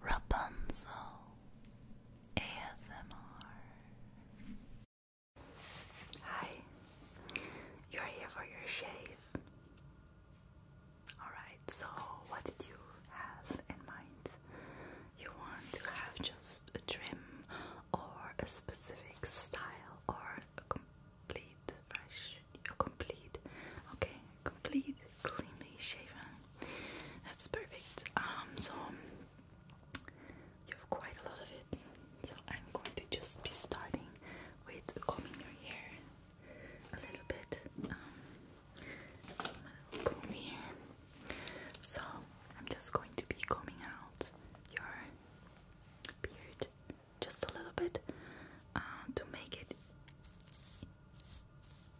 Rapunzel ASMR. Hi, you're here for your shave. Alright, so what did you have in mind? You want to have just a trim or a specific style or a complete fresh, a complete, okay, complete cleanly shaven. That's perfect. Um, so you have quite a lot of it. So I'm going to just be starting with combing your hair a little bit. Um, comb here. So I'm just going to be combing out your beard just a little bit uh, to make it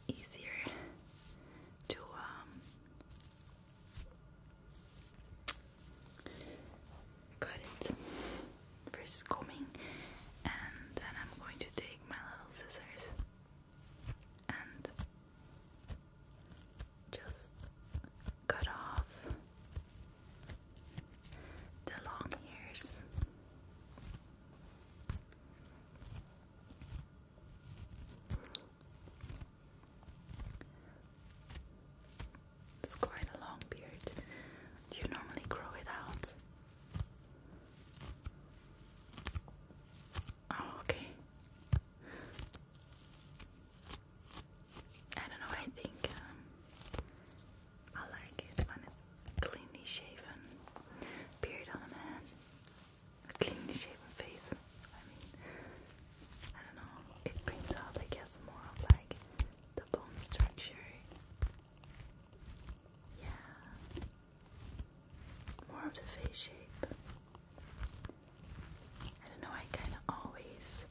easier to um, cut it first combing and then I'm going to take my little scissors and just cut off the long hairs it's quite a long beard. Do you normally grow it out? Oh, okay. I don't know, I think um, I like it when it's cleanly shaven beard on a man, a cleanly shaven face. I mean, I don't know, it brings out, I guess, more of like the bone structure. Yeah, more of the face shape. I don't know, I kind of always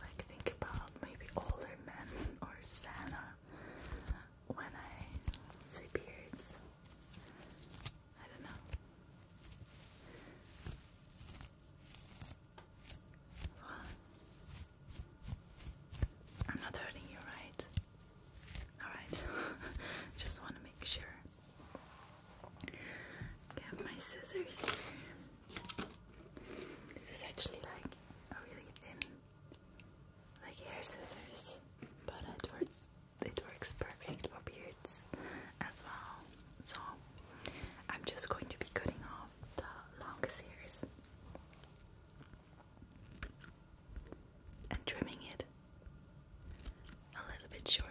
like think about maybe older men or Santa when I say beards. I don't know. I'm not hurting you, right? Alright, just want to make sure. I Get my scissors here. This is actually like a really thin like hair scissors, but it works. It works perfect for beards as well. So I'm just going to be cutting off the longest hairs and trimming it a little bit shorter.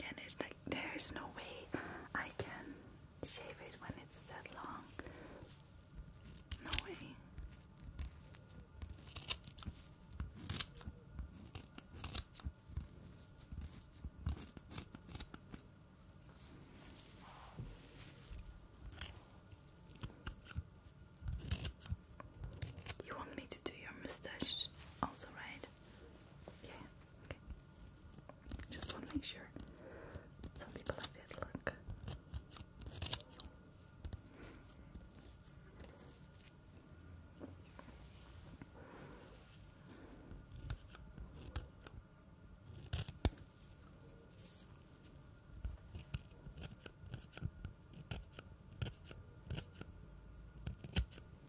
and it's like there is no way I can shave it when it's that long. No way. You want me to do your mustache also, right? Yeah. Okay. Just want to make sure. Some people like that look.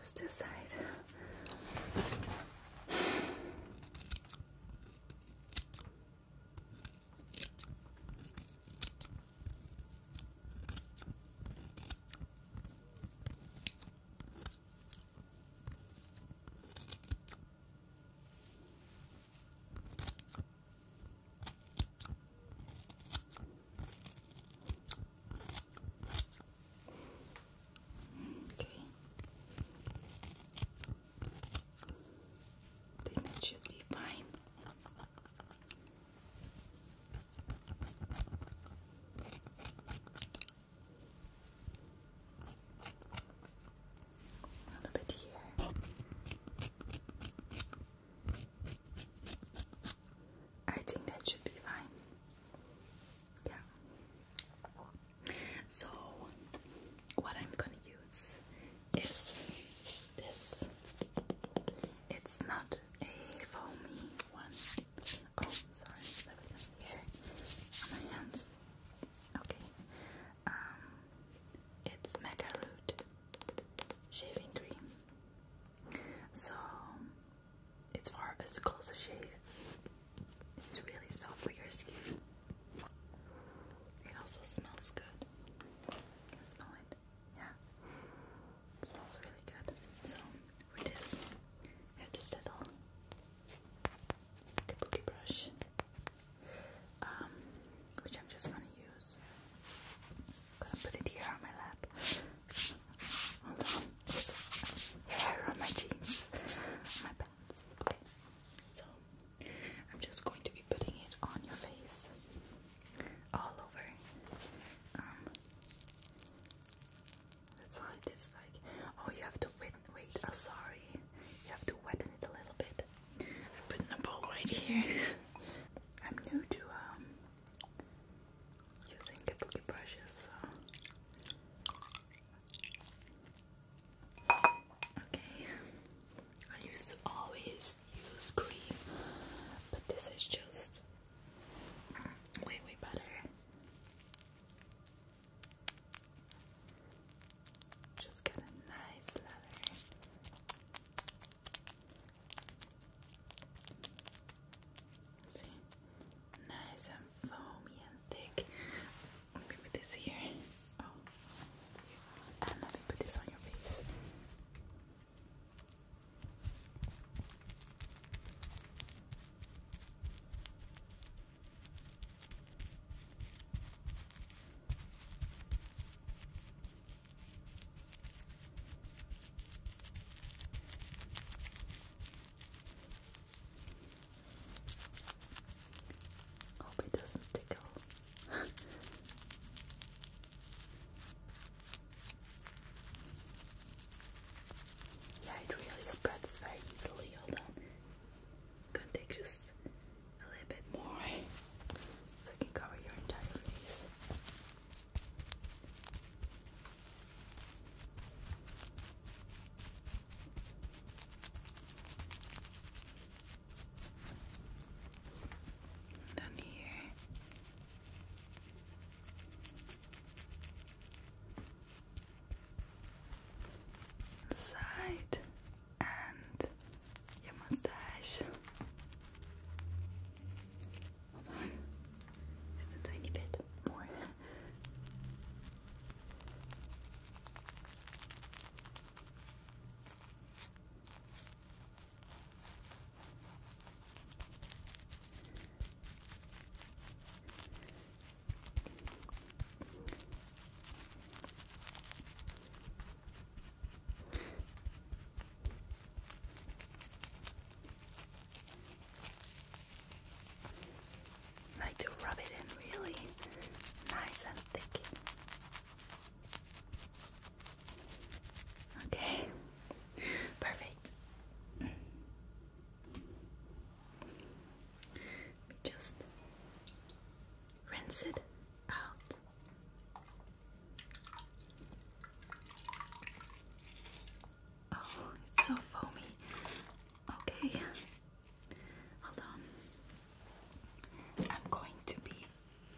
Just this side. Okay. Then that should be fine. A little bit here. I think that should be fine yeah. So what I'm gonna use is this. It's not a foamy one. Oh, sorry, here my hands. Okay. Um, it's Mega Root shaving cream. So it's far as close a shave. It's really soft for your skin. It also smells good. smell it? Yeah. smells really good. So for this, I have this little kabuki brush. Um, which I'm just gonna use. gonna put it here on my lap. Hold on. There's hair on my jeans. My pants. Okay. So I'm just going to be putting it on your face. All over. Um, that's why it is like oh you have to wait wait, oh sorry. You have to wet it a little bit. I'm putting a bowl right here. I'm new to um using kabuki brushes. Okay, I used to always use cream, but this is just way, way better. Just get a nice lather nice and foamy and thick. Let me put this here. Oh, and let me put this on your face. Hope it doesn't tickle. yeah, it really spreads very easily. Hold on. i take just a little bit more so I can cover your entire face. Down here. Side and your mustache. Just a tiny bit more. I like to rub it in really nice and thick. Okay, perfect. Let just rinse it out. Oh, it's so foamy. Okay, hold on. I'm going to be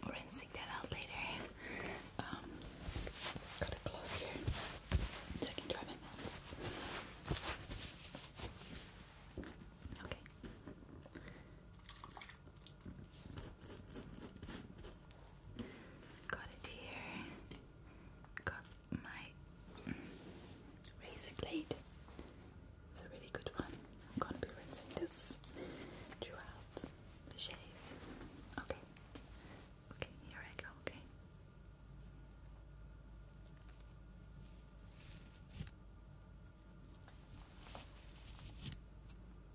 rinsing that out later. Um, got it close here so I can dry my hands. Okay. Got it here. Got my razor blade. It's a really good one. I'm gonna be rinsing this throughout the shave. Okay. Okay, here I go, okay.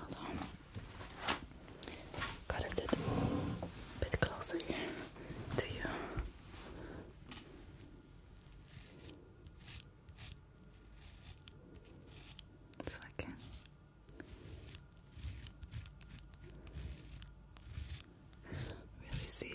Hold on. Gotta sit a bit closer to you so I can really see it.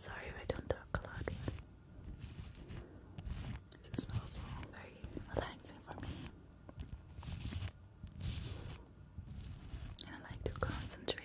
Sorry if I don't talk a lot. This is also very relaxing for me. I like to concentrate.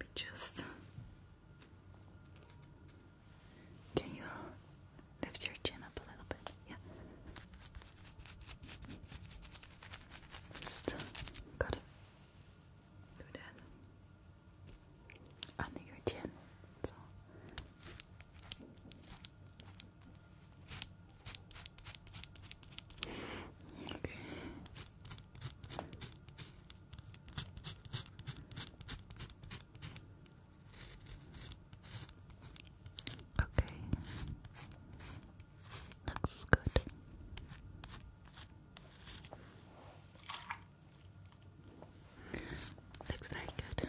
we just can you lift your chin up a little bit? Yeah. Just got it. Do that under your chin. Okay. Okay. Looks good. Looks very good.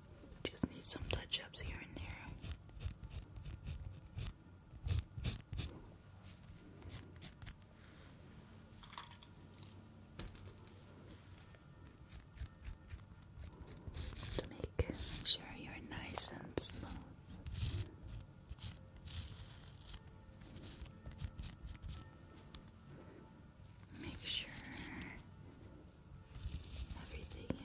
Just need some touch ups here and there. To make sure you're nice and smooth. Make sure Everything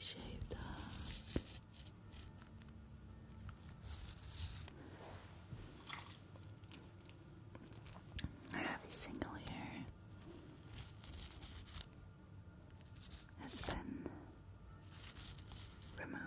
is shaved off. Every single hair has been removed.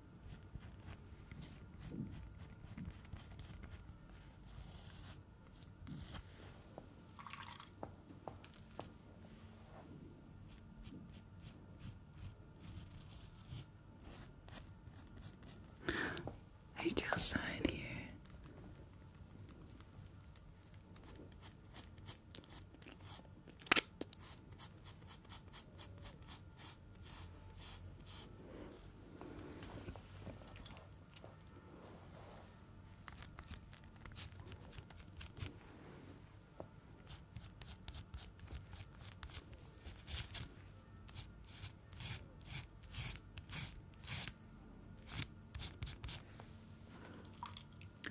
Right your side here.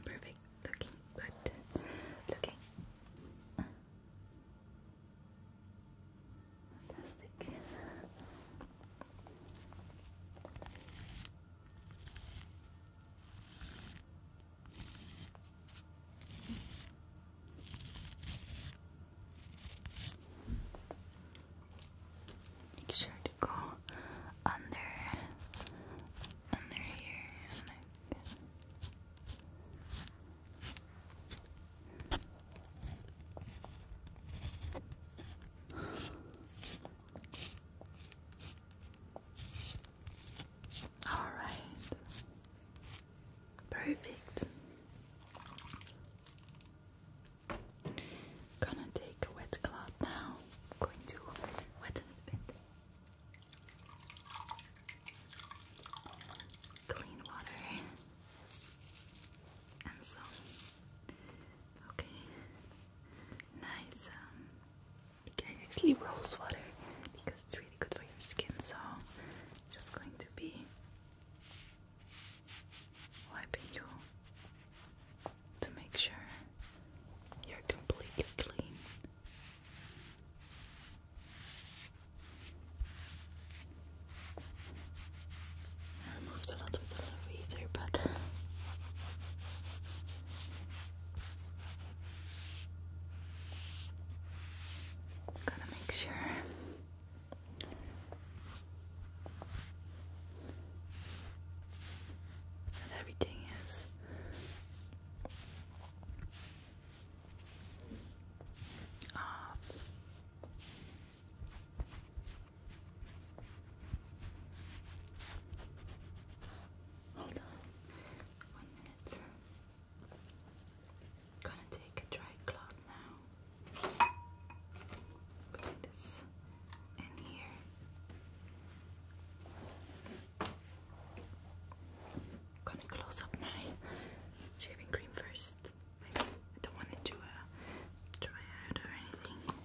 Perfect. Looking good. Looking. Fantastic. Make sure to go under, under here, all right. Perfect. Gonna take a wet cloth now. Going to wet it a bit. Clean water and so okay nice um, actually rose water because it's really good for your skin so just going to be wiping you to make sure you're completely clean I moved a lot with the little razor, but gotta make sure. everything is uh, hold on, one minute. gonna take a dry cloth now. Put this in here. gonna close up my shaving cream first. I don't want it to uh, dry out or anything.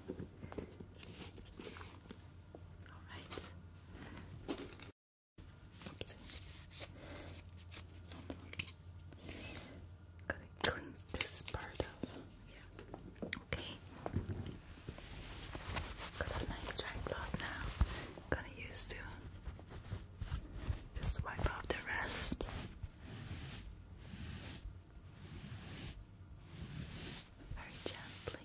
Alright. Oops. Gotta clean this part up. Yeah. Okay. Got a nice dry cloth now. Gonna use to just wipe off the rest. Very gently.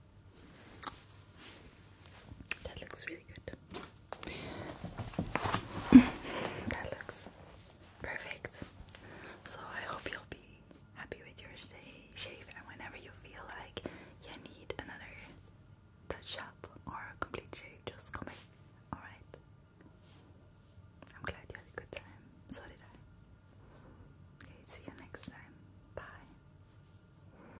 That looks really good. that looks perfect. So I hope you'll be happy with your shave, and whenever you feel like you need another touch up or a complete shave, just come in. Alright? I'm glad you had a good time. So did I. Okay, see you next time. Bye.